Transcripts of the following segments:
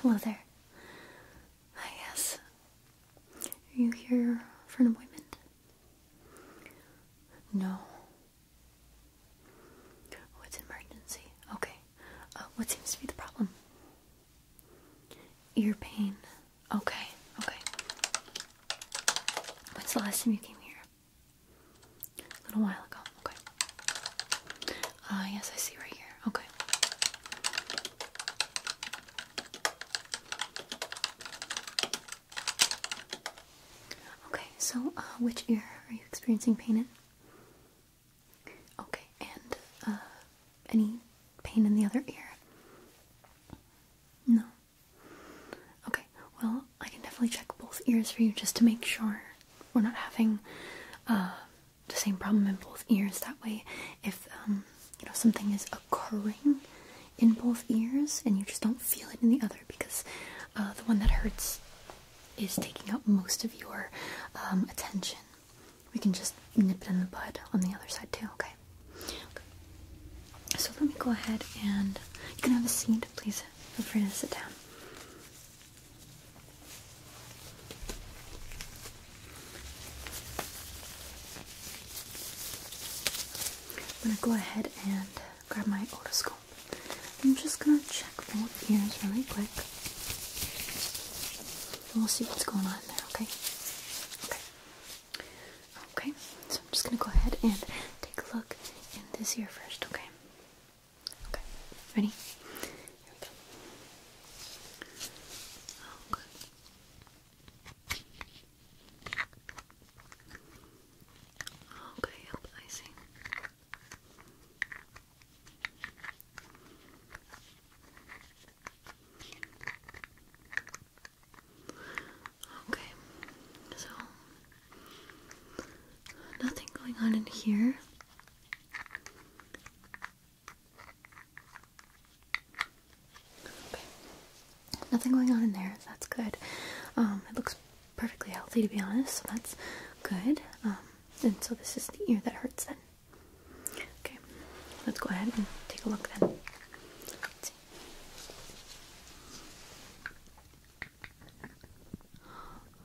hello there. Hi, yes. Are you here for an appointment? No. Oh, emergency. Okay. Uh, what seems to be the problem? Ear pain. Okay, okay. What's the last time you came here? A little while ago. Okay. Ah, yes, I see right here. Okay. Okay, so uh, which ear are you experiencing pain in? Okay, and uh, any pain in the other ear? No. Okay, well, I can definitely check both ears for you just to make sure we're not having uh, the same problem in both ears. That way, if um, you know something is occurring in both ears and you just don't feel it in the other, because uh, the one that hurts is taking up most of your um, attention, we can just nip it in the bud on the other side too. okay. So let me go ahead and you can have a seat, please. Feel free to sit down. I'm gonna go ahead and grab my otoscope. I'm just gonna check both ears really quick. And we'll see what's going on there, okay? Okay. Okay, so I'm just gonna go ahead and take a look in this ear first, okay? Okay, ready? Here we go. Oh, Okay, I see. Okay, so nothing going on in here. Okay, nothing going on in there. That's good. Um, it looks perfectly healthy to be honest, so that's good. Um, and so this is the ear that hurts then. Okay, let's go ahead and take a look then.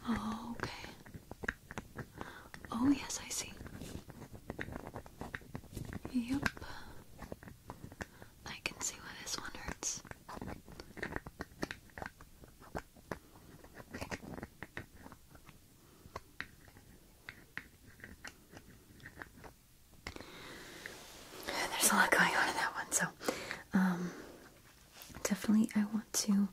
Oh, okay. Oh, yes, I see. Yep. I can see why this one hurts. There's a lot going on in that one, so um, definitely I want to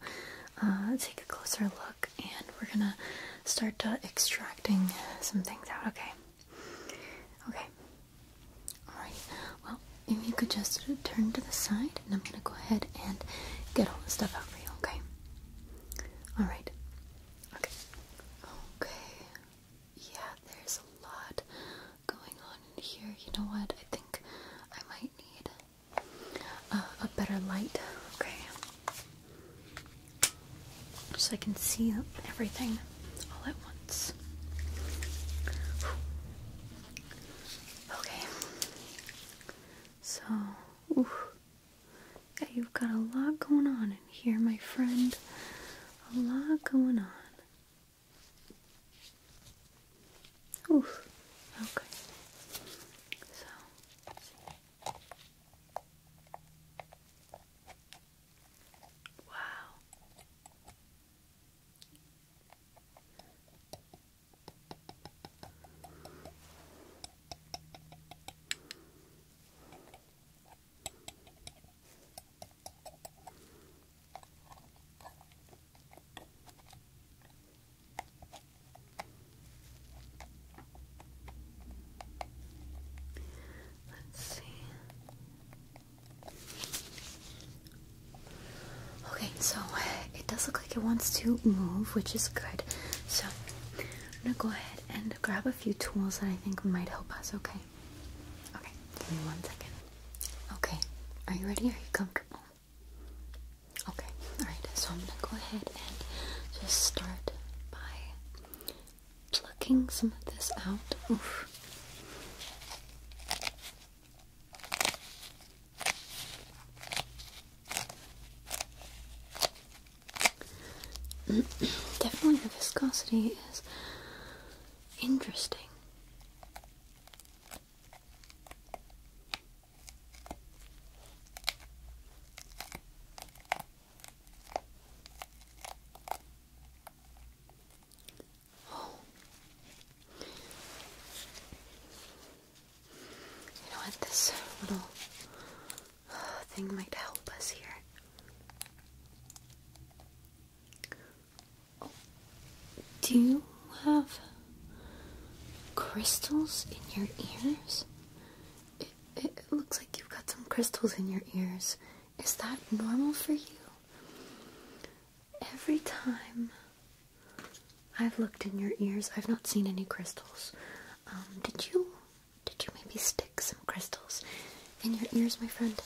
uh, take a closer look and we're gonna start uh, extracting some things out, okay? Okay. Alright, well, if you could just turn to the side and I'm gonna go ahead and get all the stuff out for you, okay? Alright. Okay. Okay. Yeah, there's a lot going on in here. You know what? I think I might need uh, a better light. Okay. So I can see everything all at once. Okay. So, yeah, you've got a lot going on in here, my friend. A lot going on. Oof. Okay. So. Wow. Let's see. Okay, so uh, it does look like it wants to move, which is good. So I'm gonna go ahead and grab a few tools that I think might help us, okay? Okay, give me one second. Okay, are you ready? Are you comfortable? Okay, alright, so I'm gonna go ahead and just start by plucking some of this out. Definitely the viscosity is interesting. You know what? This little uh, thing might help us here. Do you have crystals in your ears? It, looks like you've got some crystals in your ears. Is that normal for you? Every time I've looked in your ears, I've not seen any crystals. Um, did you, did you maybe stick some crystals in your ears, my friend?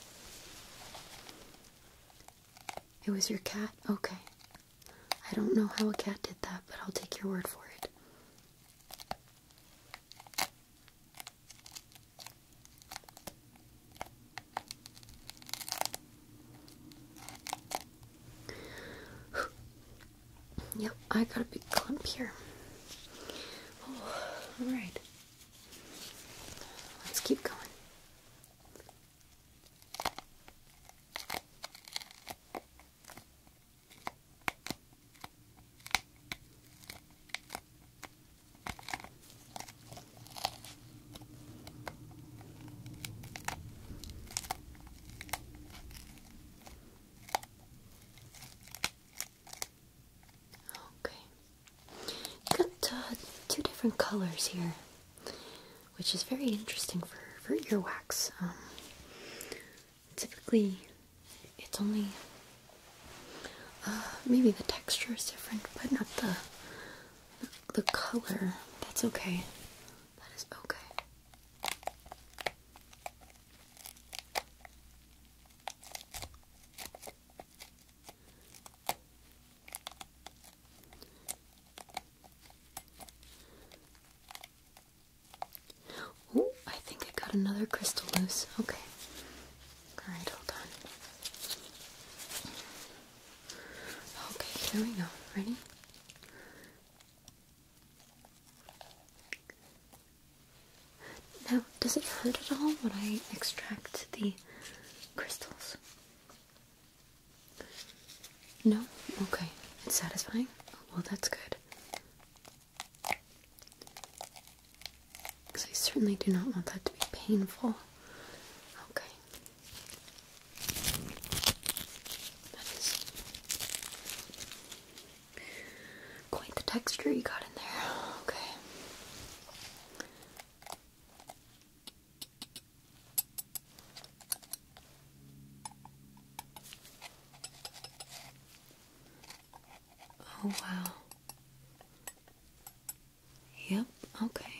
It was your cat? Okay. I don't know how a cat did that, but I'll take your word for it. yep, I got a big clump here. Oh, alright. Let's keep going. Okay, got uh, two different colors here which is very interesting for, earwax. Um, typically, it's only uh, maybe the texture is different, but not the the color. That's okay. That is okay. Oh, I think I got another crystal loose. Okay. Alright, hold on. Okay, here we go. Ready? Now, does it hurt at all when I extract the crystals? No? Okay. It's satisfying? Well, that's good. Because I certainly do not want that to be painful. Okay. That is quite the texture you got in there. Okay. Oh, wow. Yep, okay.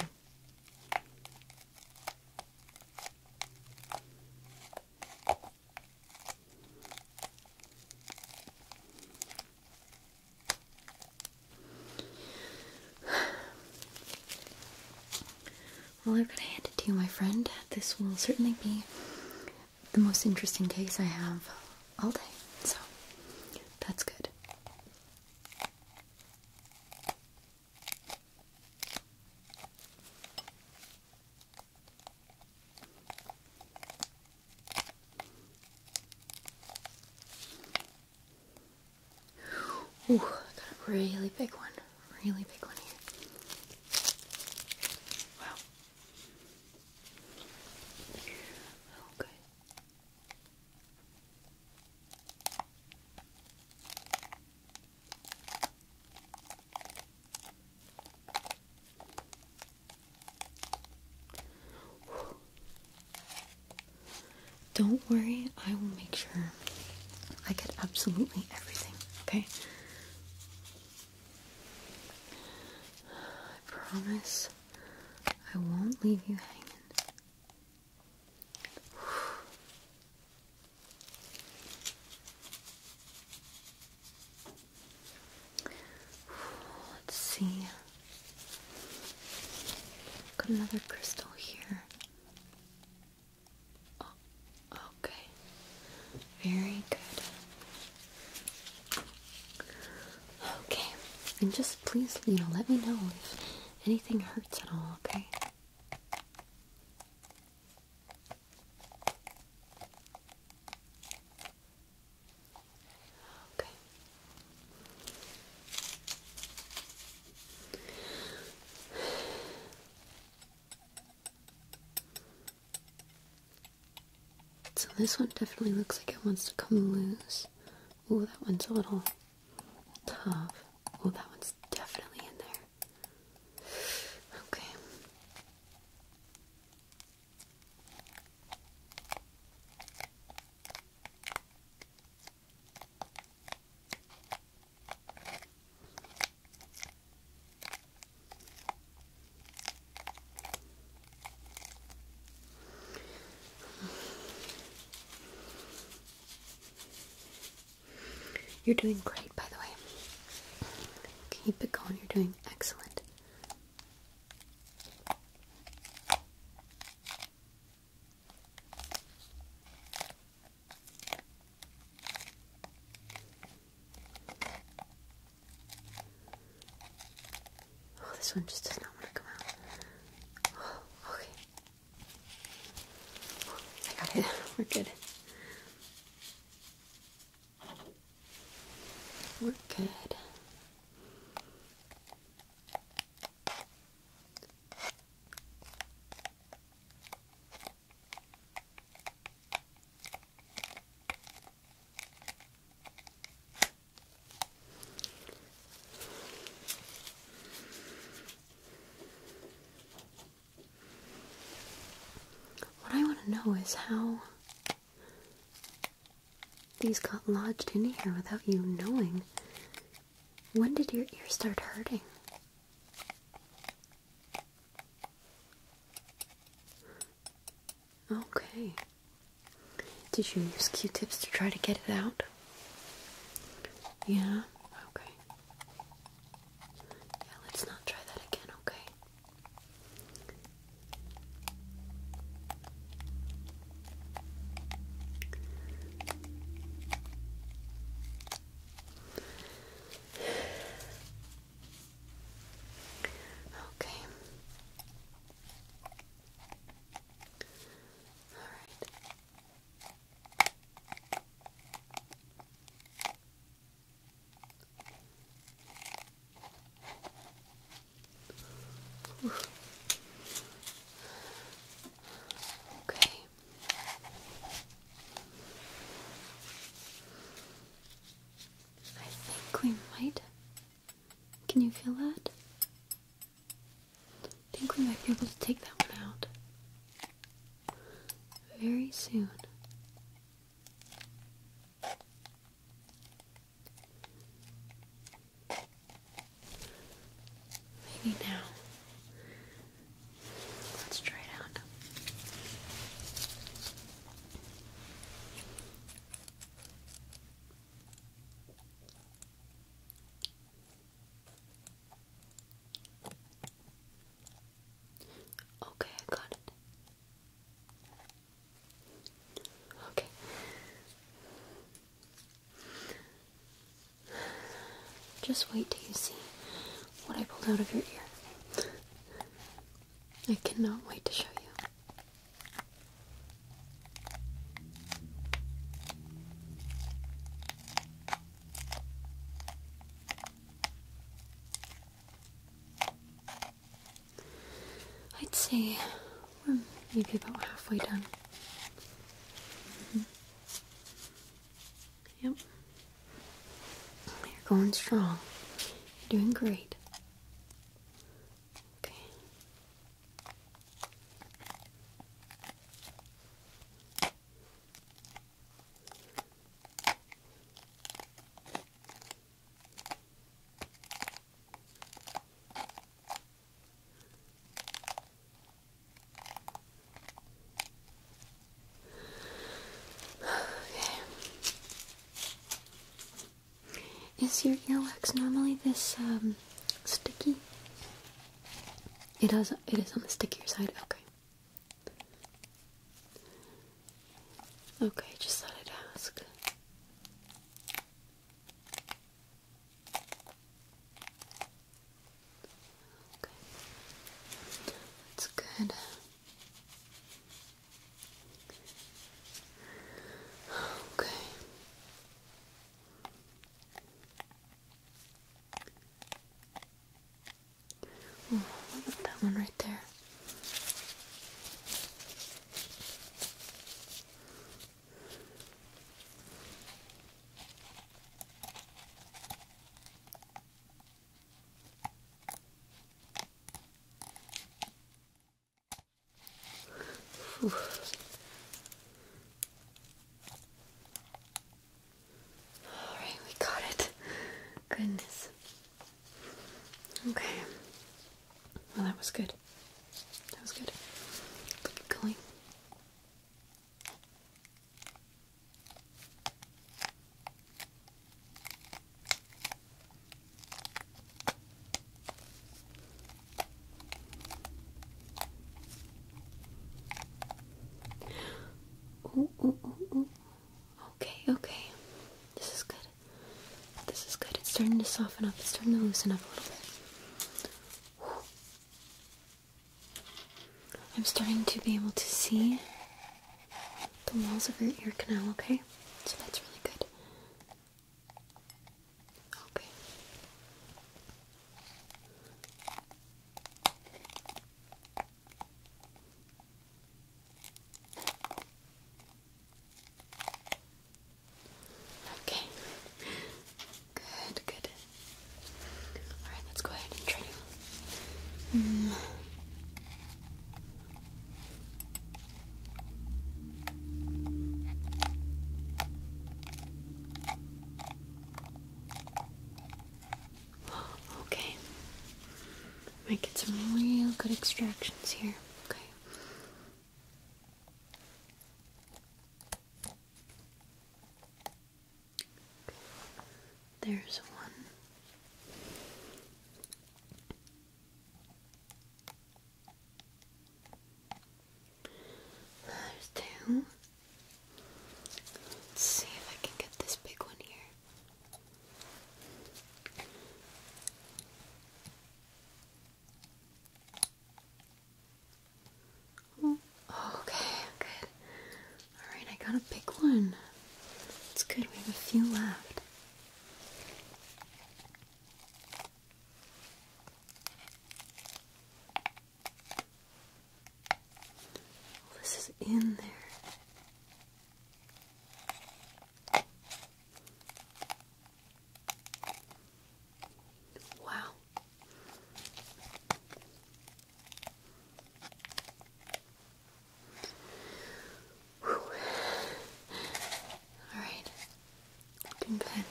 Well, I've got to hand it to you, my friend. This will certainly be the most interesting case I have all day, so that's good. Ooh, got a really big one. Really big one here. Wow. Okay. Don't worry, I will make sure I get absolutely everything, okay? I promise I won't leave you hanging. Let's see. Got another crystal here okay. Very good. Okay. And just please, you know, let me know if anything hurts at all, okay? Okay. So this one definitely looks like it wants to come loose. Oh, that one's a little tough. Oh, that one's definitely in there. Okay. You're doing great, by the way. Keep it going, you're doing excellent. Oh, this one just does not want to come out. Oh, okay. I got it. We're good. We're good. What I want to know is how these got lodged in here without you knowing. When did your ear start hurting? Okay. Did you use Q-tips to try to get it out? Yeah? Okay. Yeah, let's not try that again, okay? Okay. All right. Okay. I think we might. Can you feel that? I think we might be able to take that one out very soon. Maybe now. Let's try it out. Okay, I got it. Okay. Just wait till you see what I pulled out of your ear. I cannot wait to show you. I'd say we're maybe about halfway done. Mm-hmm. Yep. You're going strong. You're doing great. Okay. Is your ear wax normally this um, sticky? It does it is on the stickier side, okay. Okay, just thought I'd ask. That's good. Okay. Oh, what that one right there? Whew. All right, we got it. Goodness. Okay. Well, that was good. That was good. Keep going. Okay, okay. This is good. This is good. It's starting to soften up. It's starting to loosen up a little bit. I'm starting to be able to see the walls of your ear canal, okay? So that's really good. Okay. Okay. Good, good. Alright, let's go ahead and try you. Mm. Okay. Might get some real good extractions here. Okay. There's one. There's two. Let's see if I can get this big one here. Oh, okay, good. Alright, I gotta pick one. It's good, we have a few left. this is in there. Wow. All right, good. I'm gonna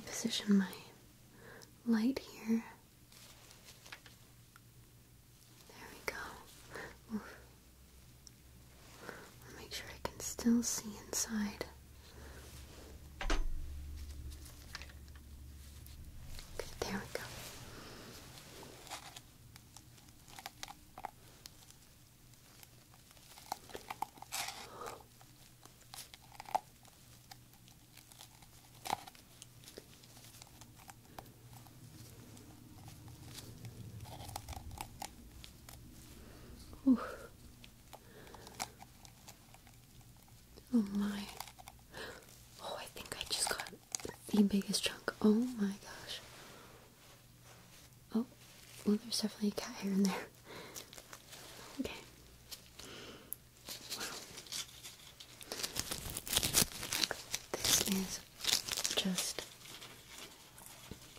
reposition my light here. There we go. make sure I can still see inside. Okay, there we go. Ooh. Oh my. Oh, I think I just got the biggest chunk. Oh my gosh. Oh, well, there's definitely a cat hair in there. Okay. Wow. This is just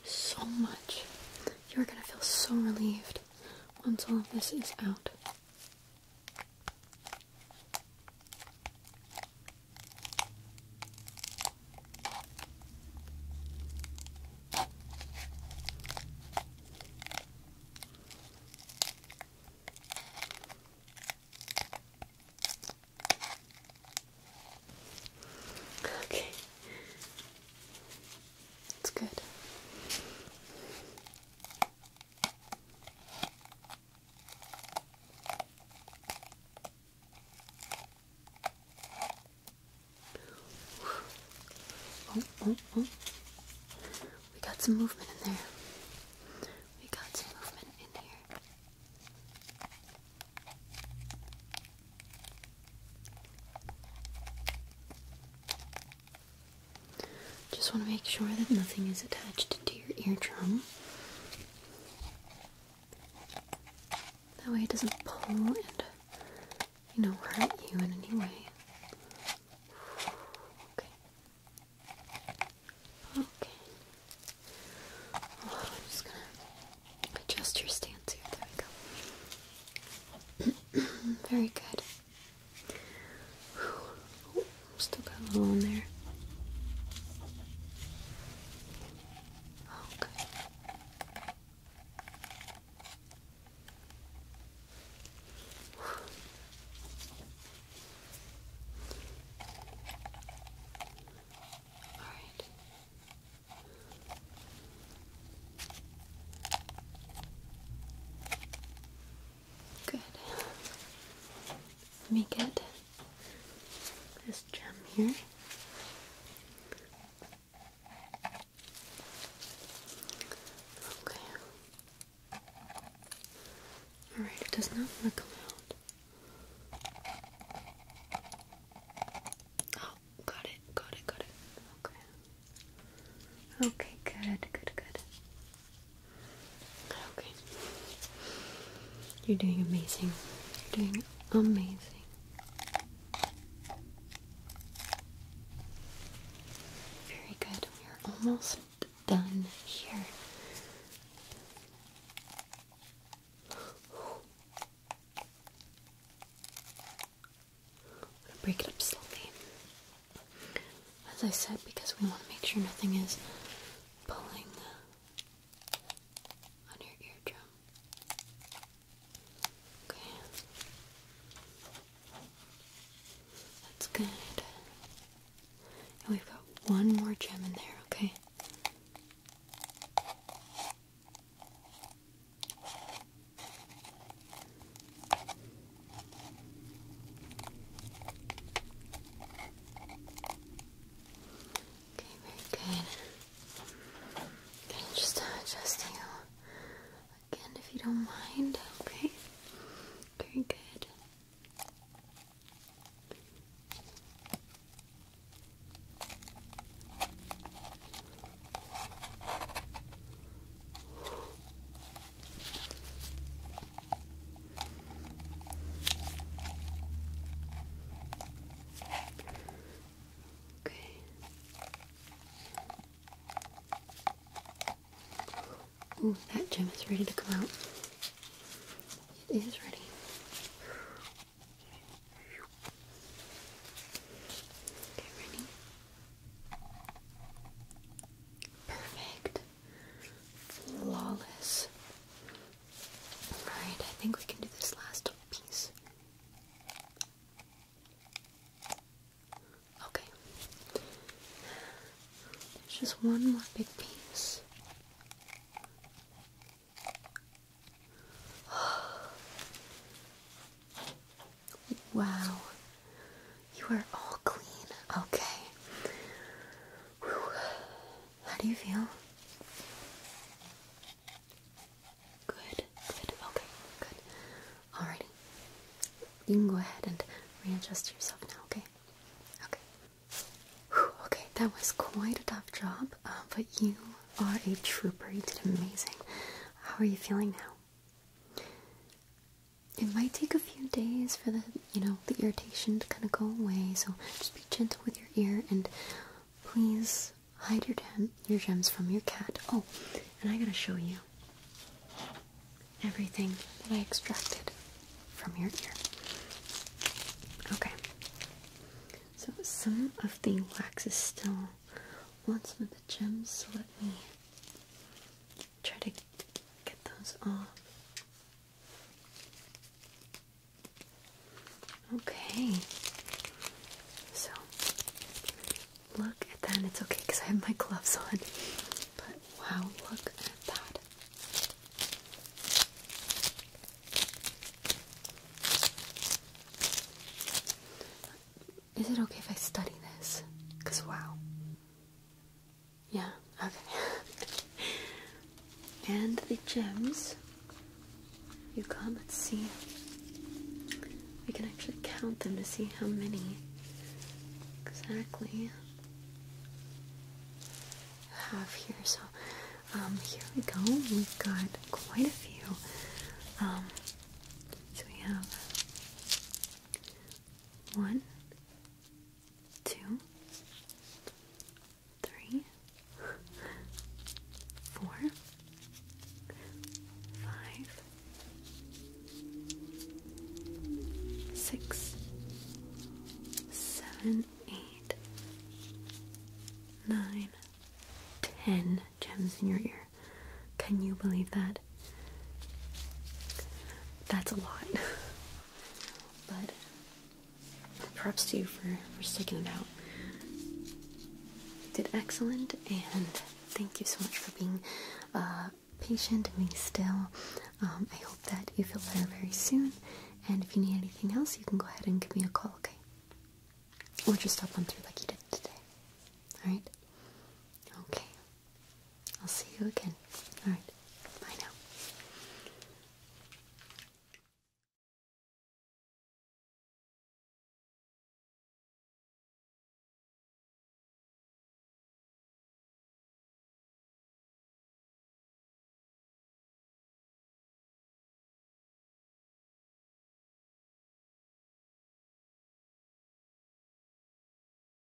so much. You're gonna feel so relieved once all of this is out. Okay. It's good. Oh, oh, oh. We got some movement in there. We got some movement in here. Just want to make sure that nothing is attached to your eardrum. That way it doesn't pull and, you know, hurt you in any way. Okay. Okay. I'm just gonna adjust your stance here. There we go. Very good. still got a little in there. Oh, okay. All right. Good. Let me get this gem here. Okay. Alright, it does not want out. Oh, got it, got it, got it. Okay. Okay, good, good, good. Okay. You're doing amazing. You're doing amazing. Very good. We're almost done here. I'm gonna break it up slowly. As I said, because we want to make sure nothing is pulling uh, on your eardrum. Okay. That's good. And we've got one more gem in there, okay? Okay, very good. just uh, adjusting you again if you don't mind, okay? Very good. Okay. Oh, that gem is ready to come out. It is ready. Okay, ready? Perfect. Flawless. Alright, I think we can do this last piece. Okay. There's just one more big piece. Wow. You are all clean. Okay. How do you feel? Good, good, okay, good. Alrighty. You can go ahead and readjust yourself now, okay? Okay. okay, that was quite a tough job, uh, but you are a trooper. You did amazing. How are you feeling now? It might take a few days for the, you know, the irritation to kind of go away, so just be gentle with your ear and please hide your gem, your gems from your cat. Oh, and I gotta show you everything that I extracted from your ear. Okay. So some of the wax is still on some of the gems, so let me try to get those off. Okay, so look at that. It's okay because I have my gloves on, but wow, look at that. Is it okay if I study this? Because wow. Yeah, okay. and the gems you come and see. We can actually count them to see how many exactly you have here. So, um, here we go. We've got quite a few. Um, so we have one, two, three, four, five, six, seven, eight, nine, ten gems in your ear. Can you believe that? That's a lot. but props to you for, sticking it out. You did excellent, and thank you so much for being uh, patient and being still. Um, I hope that you feel better very soon, and if you need anything else, you can go ahead and give me a call, okay? Or just stop on through like you did today. Alright? Okay. I'll see you again. Alright, bye now.